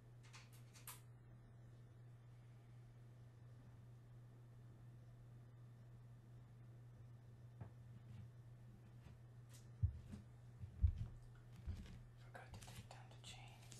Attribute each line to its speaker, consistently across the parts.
Speaker 1: Forgot to take down the chains.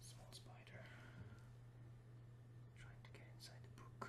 Speaker 1: Small spider trying to get inside the book.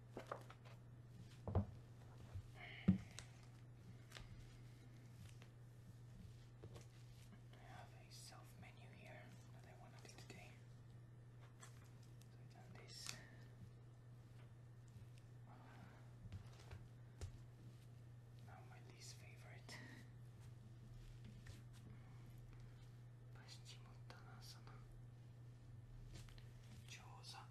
Speaker 1: I have a self menu here that I want to do today. So I've done this. now my least favorite. Paschimottanasana. Chosa.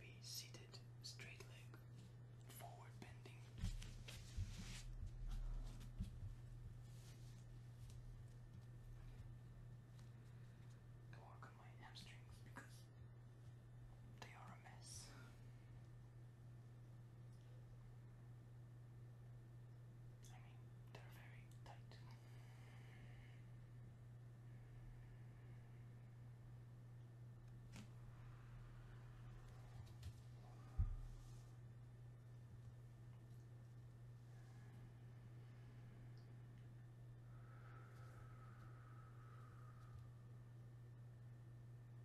Speaker 1: Maybe seated, straight leg, forward bending. I work on my hamstrings because they are a mess. I mean, they're very tight.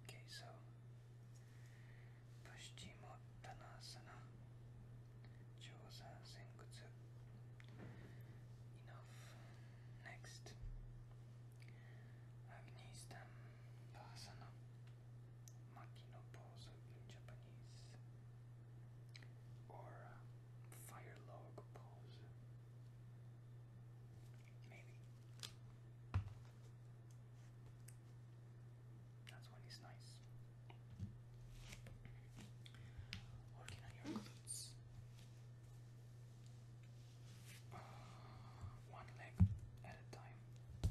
Speaker 1: Okay, so Paschimottanasana, Josa Senkutsu. Enough. Next. Avnistam Pasanam Makino Pozo in Japanese or fire log pose. Maybe. That's when he's nice. Working on your glutes uh, one leg at a time.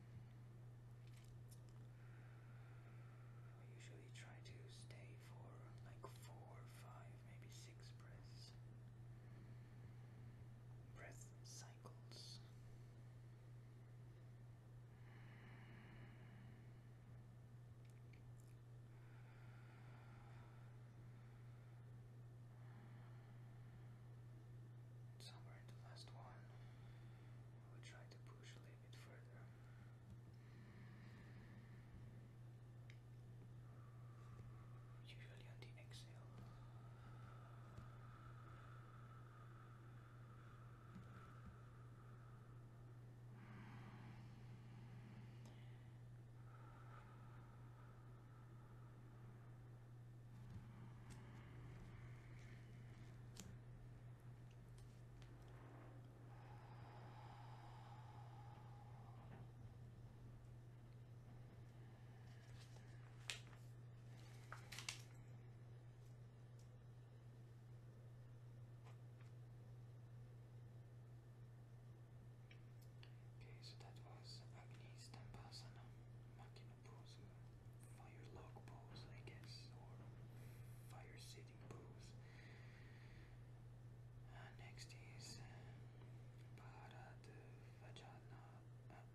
Speaker 1: I usually try to stay for like four, five, maybe six breaths. Breath cycles. Somewhere in the last one, We'll try to push a little bit further. Usually on the exhale. Okay, so that was Agni Stambasana, pose, a fire log pose, I guess, or fire sitting pose. Uh, next is uh, sorry, Bharadvajasana. And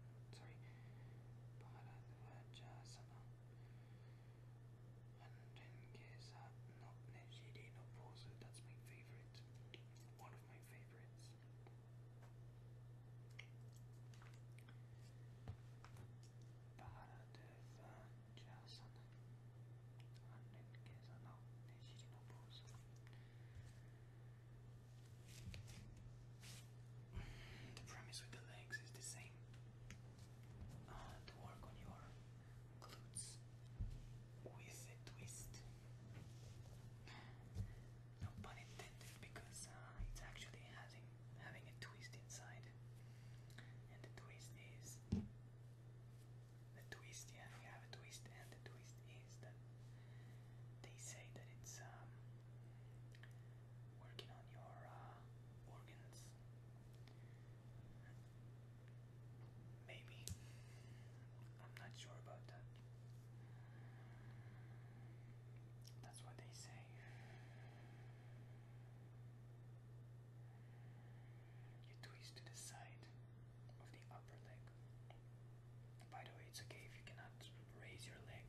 Speaker 1: then Gesa, no, Nejidino pose, that's my favorite, one of my favorites the premise with the legs is the same uh, to work on your glutes with a twist no pun intended because uh, it's actually having having a twist inside. And the twist is the twist, yeah, we have a twist, and the twist is that they say that it's um, working on your uh, organs. Maybe. I'm not sure about that. That's what they say. You twist to the side of the upper leg. By the way, it's okay if you cannot raise your leg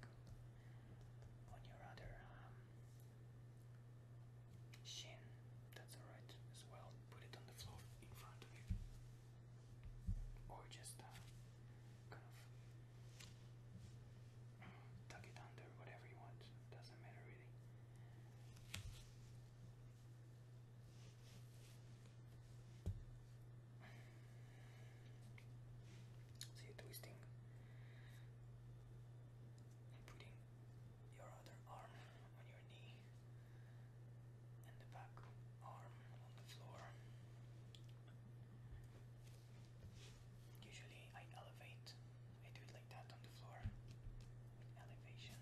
Speaker 1: on your other um, shin. That's alright as well. Put it on the floor in front of you. Or just uh, kind of tuck it under, whatever you want. Doesn't matter really. See, twisting putting your other arm on your knee and the back arm on the floor. Usually I elevate, I do it like that on the floor. Elevation.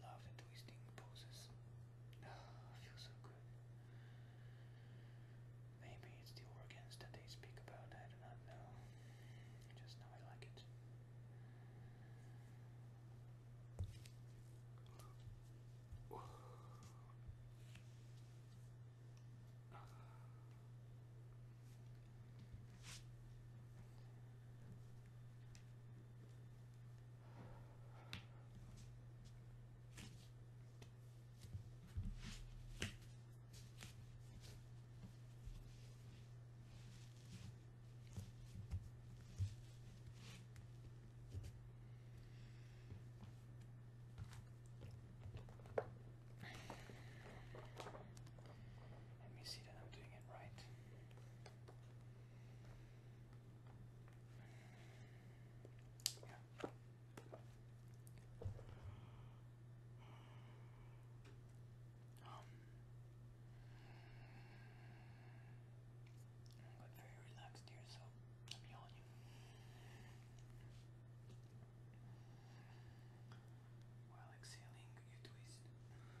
Speaker 1: love the twisting poses. Oh, ah, feels so good. Maybe it's the organs that they speak about, I do not know. Just know I like it. Let me see that I'm doing it right but um, very relaxed here, so I'm yawning. While exhaling, you twist.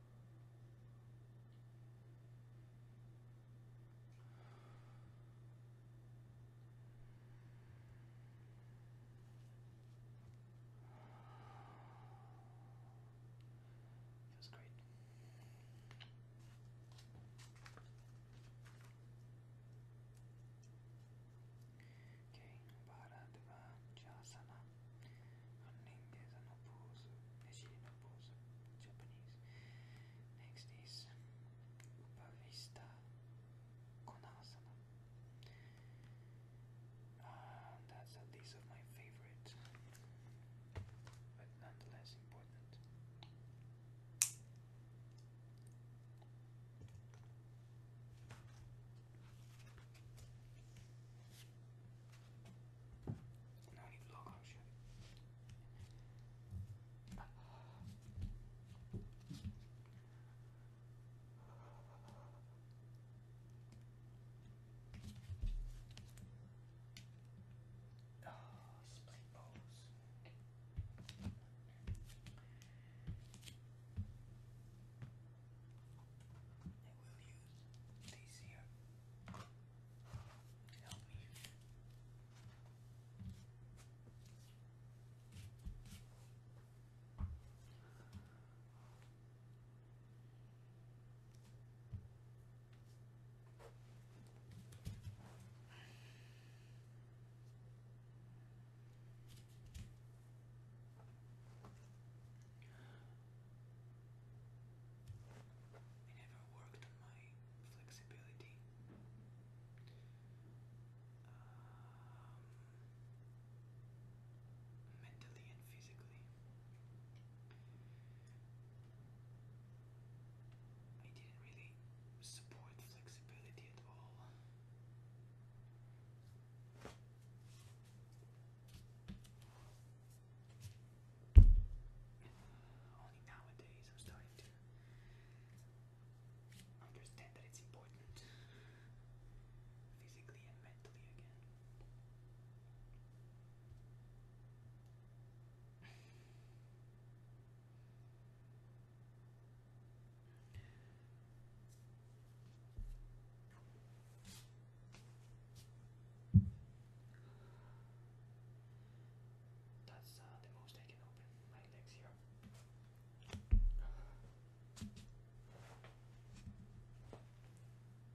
Speaker 1: Feels great. Okay, Bharadvajasana. Oninges are not Japanese. Next is Upavista Konasana. Ah, that's at least of my favorite, but nonetheless important. Now I need to log out shit. Oh, split balls. It will use these Help me. I never worked on my flexibility. mentally and physically. I didn't really support flexibility at all. Only nowadays I'm starting to understand that it's important physically and mentally again. That's uh, the most I can open my legs here.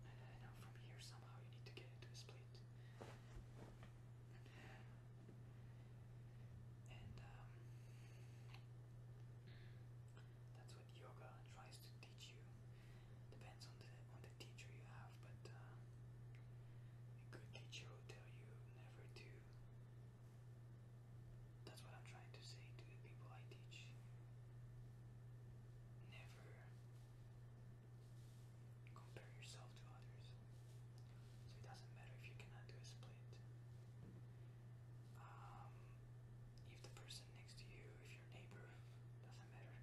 Speaker 1: And now from here, somehow you need to get into a split. And um, that's what yoga tries to teach you Depends on the on the teacher you have, but uh, a good teacher will tell you never to. That's what I'm trying to say to the people I teach. Never compare yourself to others. So it doesn't matter if you cannot do a split. Um, if the person person next to you, if your neighbor, doesn't matter.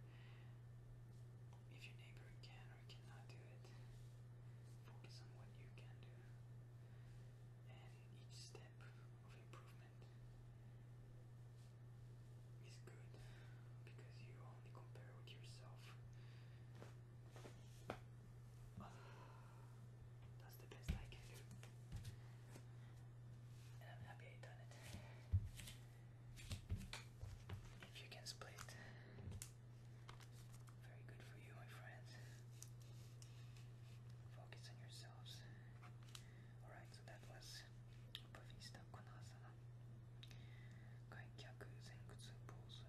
Speaker 1: If your neighbor can or cannot do it, focus on what you can do. And each step of improvement is good because you only compare with yourself. That's the best I can do and I'm happy I done it. If you can split, very good for you, my friends. Focus on yourselves. Alright, so that was Upavista Konasana. Gaikyaku Zengutsu Pose.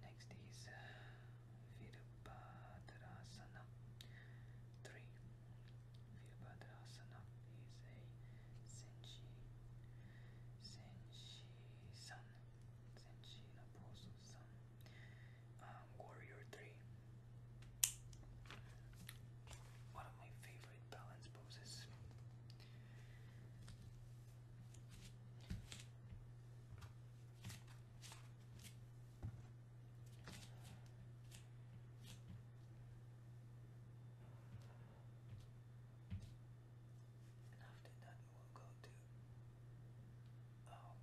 Speaker 1: Next is uh, 3 Virabhadrasana is a senshi, senshi-san, senshi naposo-san, warrior 3. One of my favorite balance poses. And after that, we'll go to. okay.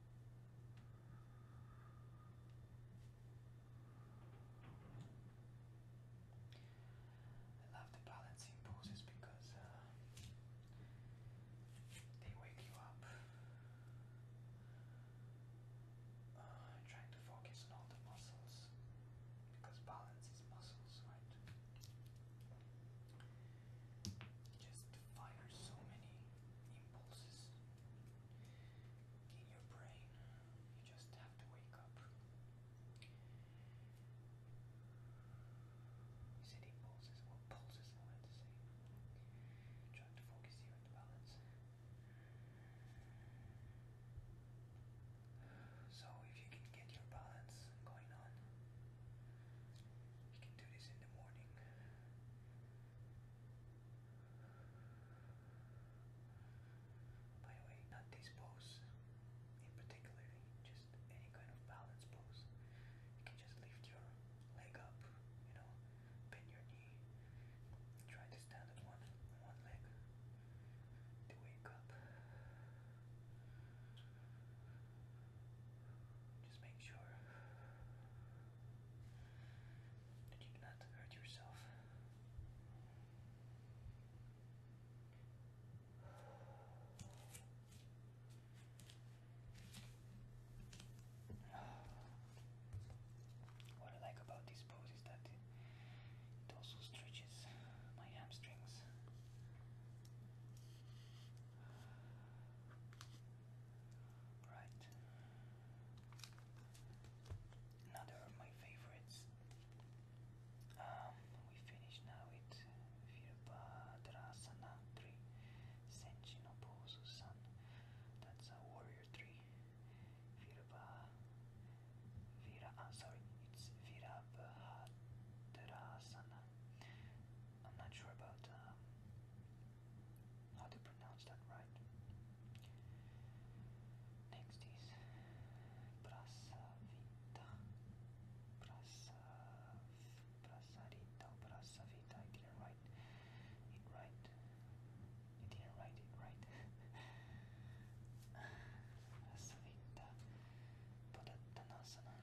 Speaker 1: I love the balancing poses because uh, they wake you up. Uh, trying to focus on all the muscles because balance is muscles, right? just fire so many impulses in your brain. You just have to wake up. You said impulses or pulses, I meant to say. Trying to focus here on the balance. So if you can get your balance going on, you can do this in the morning. By the way, not this pose in particular, just any kind of balance pose. You can just lift your leg up, you know, bend your knee, try to stand on one, one leg to wake up. Just make sure that you do not hurt yourself. What I like about this pose is that it also stretches my hamstrings. Right. Another of my favorites. Um, we finish now with Virabhadrasana 3, Senchinoposu San. That's a warrior 3. Virabha. Vira, ah, sorry, it's Virabhadrasana. I'm not sure about uh, how to pronounce that right. Next is Brasavita. Brasav, Brasavita, Brasavita. I didn't write it right. I didn't write it right. Brasavita Padatanasana.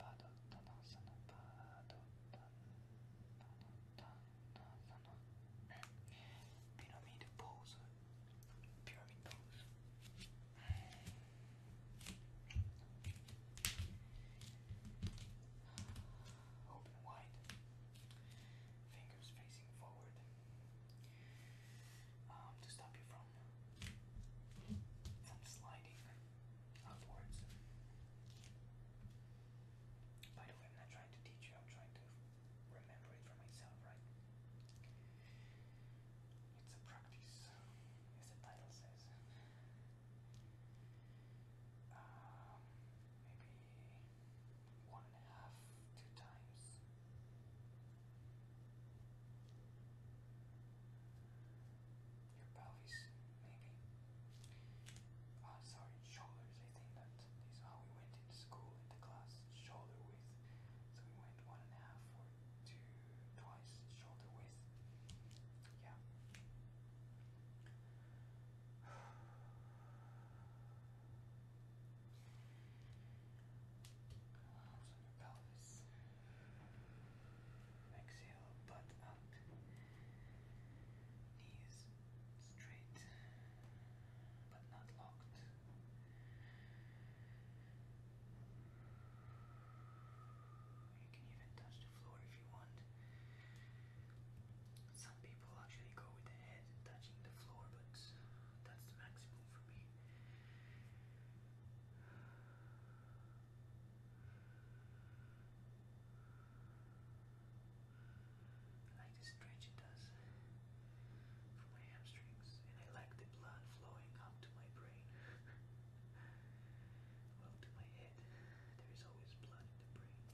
Speaker 1: Padottanasana, Padottanasana, pyramid pose, pyramid pose. Open wide, fingers facing forward um, to stop you from from sliding upwards. By the way, I'm not trying to teach you, I'm trying to remember it for myself, right? It's a practice, as the title says. Um, maybe one and a half, two times your pelvis, maybe. Uh, sorry, shoulders. I think that is how we went into school in the class, shoulder width. So we went one and a half or two, twice shoulder width. Yeah. Arms on your pelvis. Exhale, butt up. Knees straight, but not locked. You can even touch the floor if you want. Some people actually go with the head touching the floor, but that's the maximum for me. I like the stretch it does for my hamstrings, and I like the blood flowing up to my brain. well, to my head. There is always blood in the brain.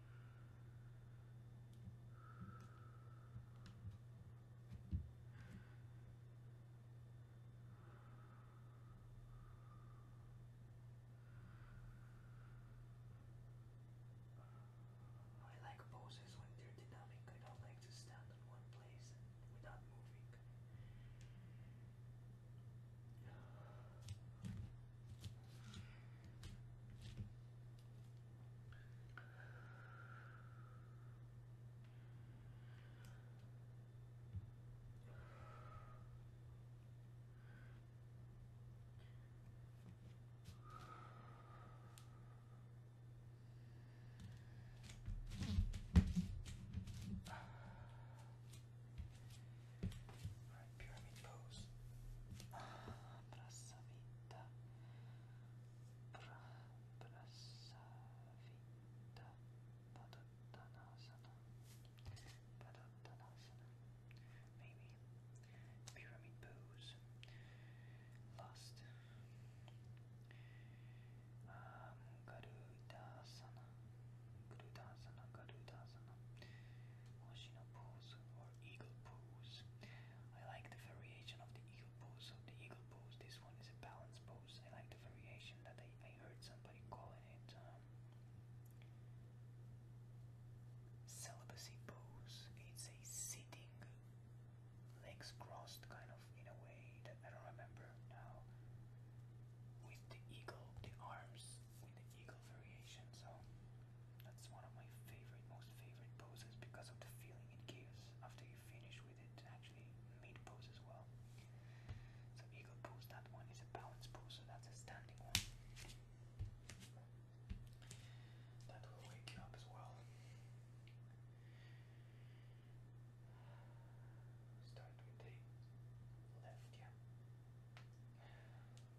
Speaker 1: I like poses when they're dynamic. I don't like to stand in one place without moving. Pyramid pose. Prasavita pra, Prasavita Padottanasana Padottanasana Maybe Pyramid Pose Lust um, Garudasana Garudasana Garudasana Hoshi pose eagle pose. I like the variation of the eagle pose. So the eagle pose, this one is a balance pose. I like the variation that I, heard somebody calling it um, celibacy pose. It's a sitting, legs crossed kind of in a way that I don't remember now. With the eagle, the arms, with eagle variation, so that's one of my favorite, most favorite poses because of the feeling it gives after you finish with it, actually mid pose as well. So eagle pose, that one is a balance pose, so that's a standing one. That will wake you up as well. Start with the left, yeah. Okay.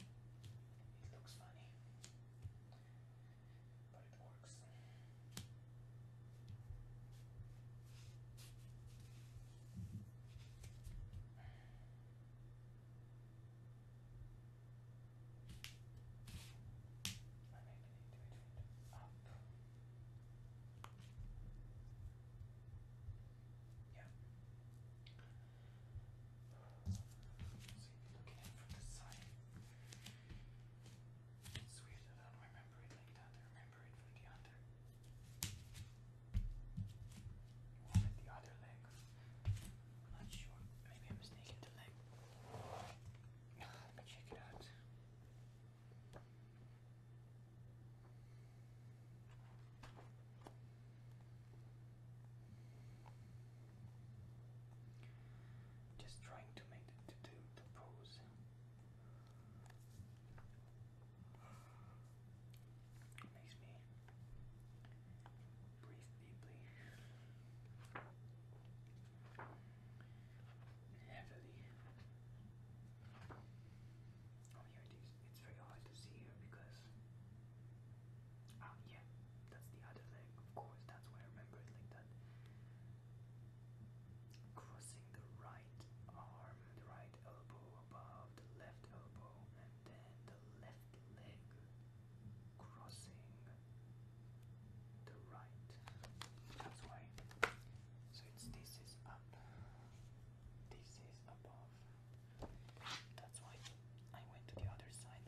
Speaker 1: It looks funny, but it works. I maybe need it up. Yeah. It's weird I don't remember it like that. I remember it from the other. You wanted the other leg. I'm not sure. Maybe I'm mistaken the leg. Let me check it out. Just trying to make the, to do pose. makes me breathe deeply heavily. Oh, it's very hard to see here because, um, yeah, that's the other leg, of course, that's why I remember it like that. Crossing the right arm, the right elbow above the left elbow, and then the left leg crossing the right. That's why. So it's this is up, this is above, that's why I went to the other side.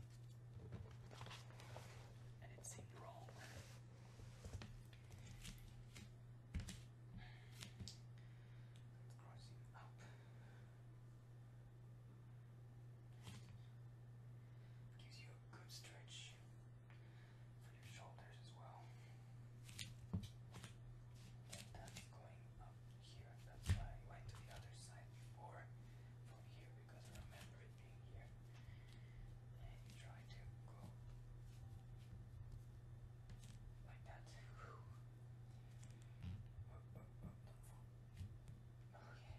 Speaker 1: And it seemed wrong. Crossing up. Gives you a good stretch for your shoulders as well. And going up here. That's why I went to the other side before from here because I remember it being here. And try to go like that. Oh, Okay.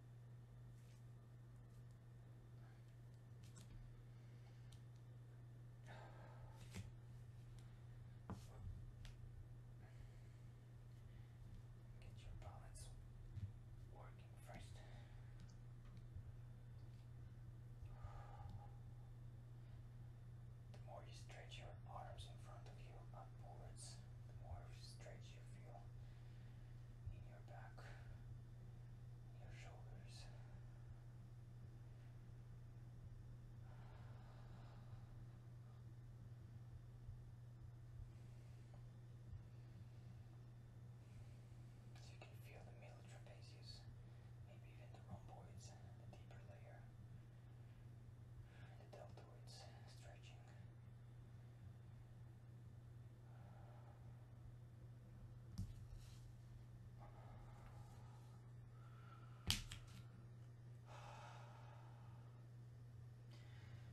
Speaker 1: Get your balance working first. The more you stretch your arms in front of you upwards, the more stretch you feel in your back, your shoulders. So you can feel the middle trapezius, maybe even the rhomboids, the deeper layer the deltoids stretching.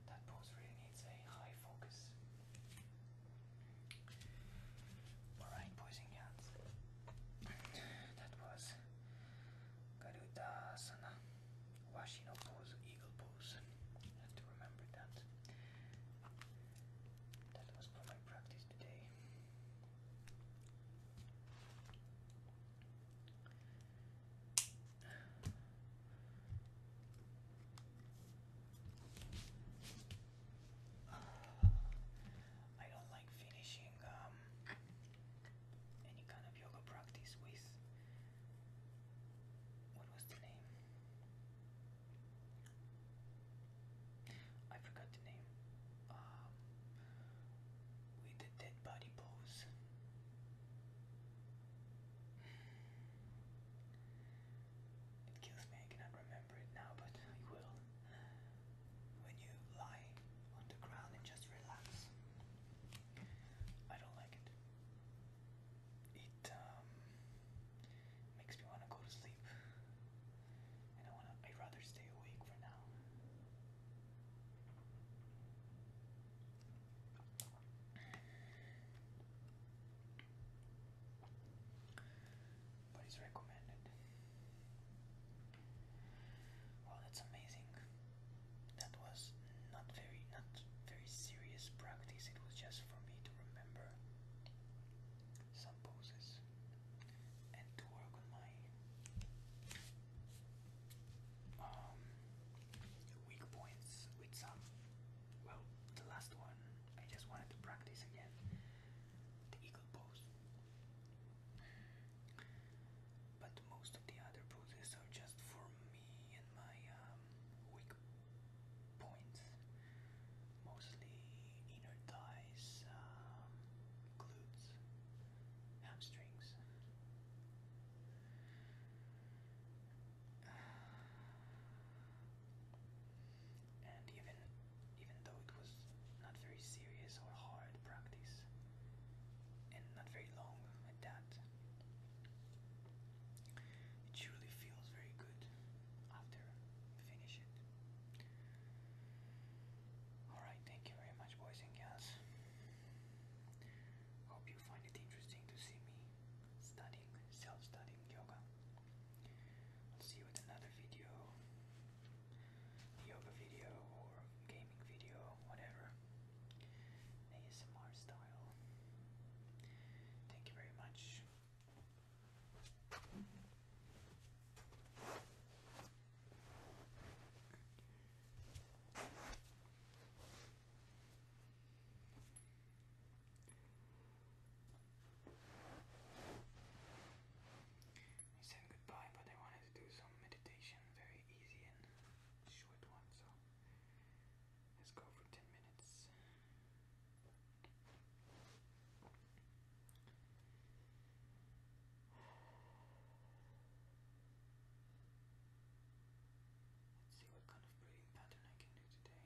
Speaker 1: That pose really needs a high focus. Alright, boys and that was Garuda Sana. Washino pose, eagle pose. have to remember that. That was for my practice today. I don't like finishing um, any kind of yoga practice with what was the name? I forgot the name. Um, with the dead body pose. It kills me, I cannot remember it now, but I will. When you lie on the ground and just relax, I don't like it it um, makes me want to go to sleep, and I want to. I'd rather stay awake for now. But it's recommended. Wow, that's amazing that was not very not very serious practice. It was just for me to remember some poses and to work on my um, weak points with some. Well, the last one I just wanted to practice again. The eagle pose. But most of the other poses are just for and my um, weak points, mostly inner thighs, um, glutes, hamstrings. And even even though it was not very serious or hard practice and not very long at that, it truly feels very good after finish it. Alright, thank you very much, boys and girls. Hope you find it interesting to see me studying, self studying yoga. I'll see you with another video, yoga video, or gaming video, whatever. ASMR style. Thank you very much. I said goodbye, but I wanted to do some meditation, very easy and short one, so Let's go for 10 minutes. Let's see what kind of breathing pattern I can do today.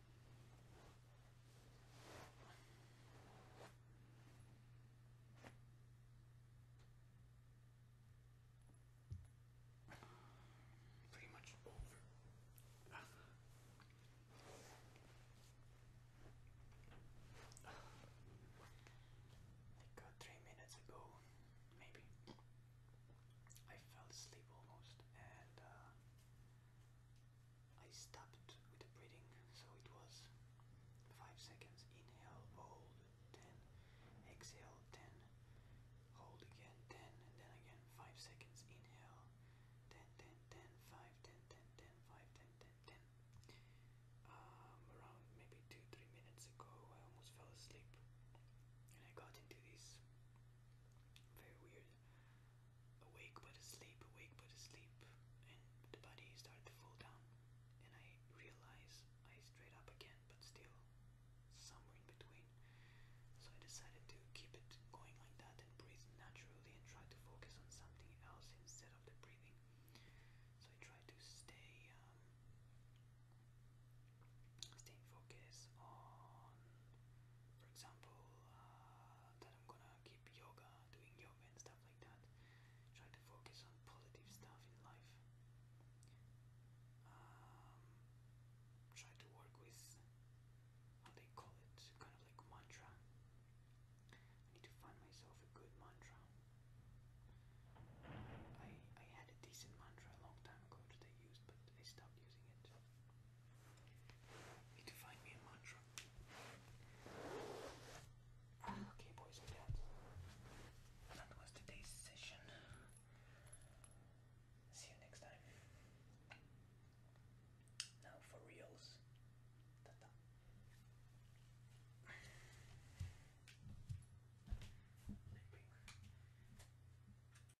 Speaker 1: Pretty much over. Like uh, three minutes ago, maybe I fell asleep almost, and uh, I stopped with the breathing, so it was 5 seconds. Inhale, hold, 10. Exhale, 10. Hold again, 10. And then again, 5 seconds. Inhale, 10, 10, 10, 5, 10, 10, 10, 5, 10, 10, 10. Um, around maybe 2 3 minutes ago, I almost fell asleep. And I got into this very weird awake but asleep, awake but asleep, and the body started to fall down. And I realized I straight up again, but still somewhere in between. So I decided to keep it going like that and breathe naturally and try to focus on something else instead of the breathing. So I tried to stay um, stay focused on, for example, uh, that I'm gonna keep yoga, doing yoga and stuff like that. Try to focus on positive stuff in life. Um, try to work with how they call it, kind of like mantra. I need to find myself a good mantra. I I had a decent mantra a long time ago that I used, but I stopped using it. Need to find me a mantra. Okay, boys and cats. That was today's session. See you next time. Now for reals. Ta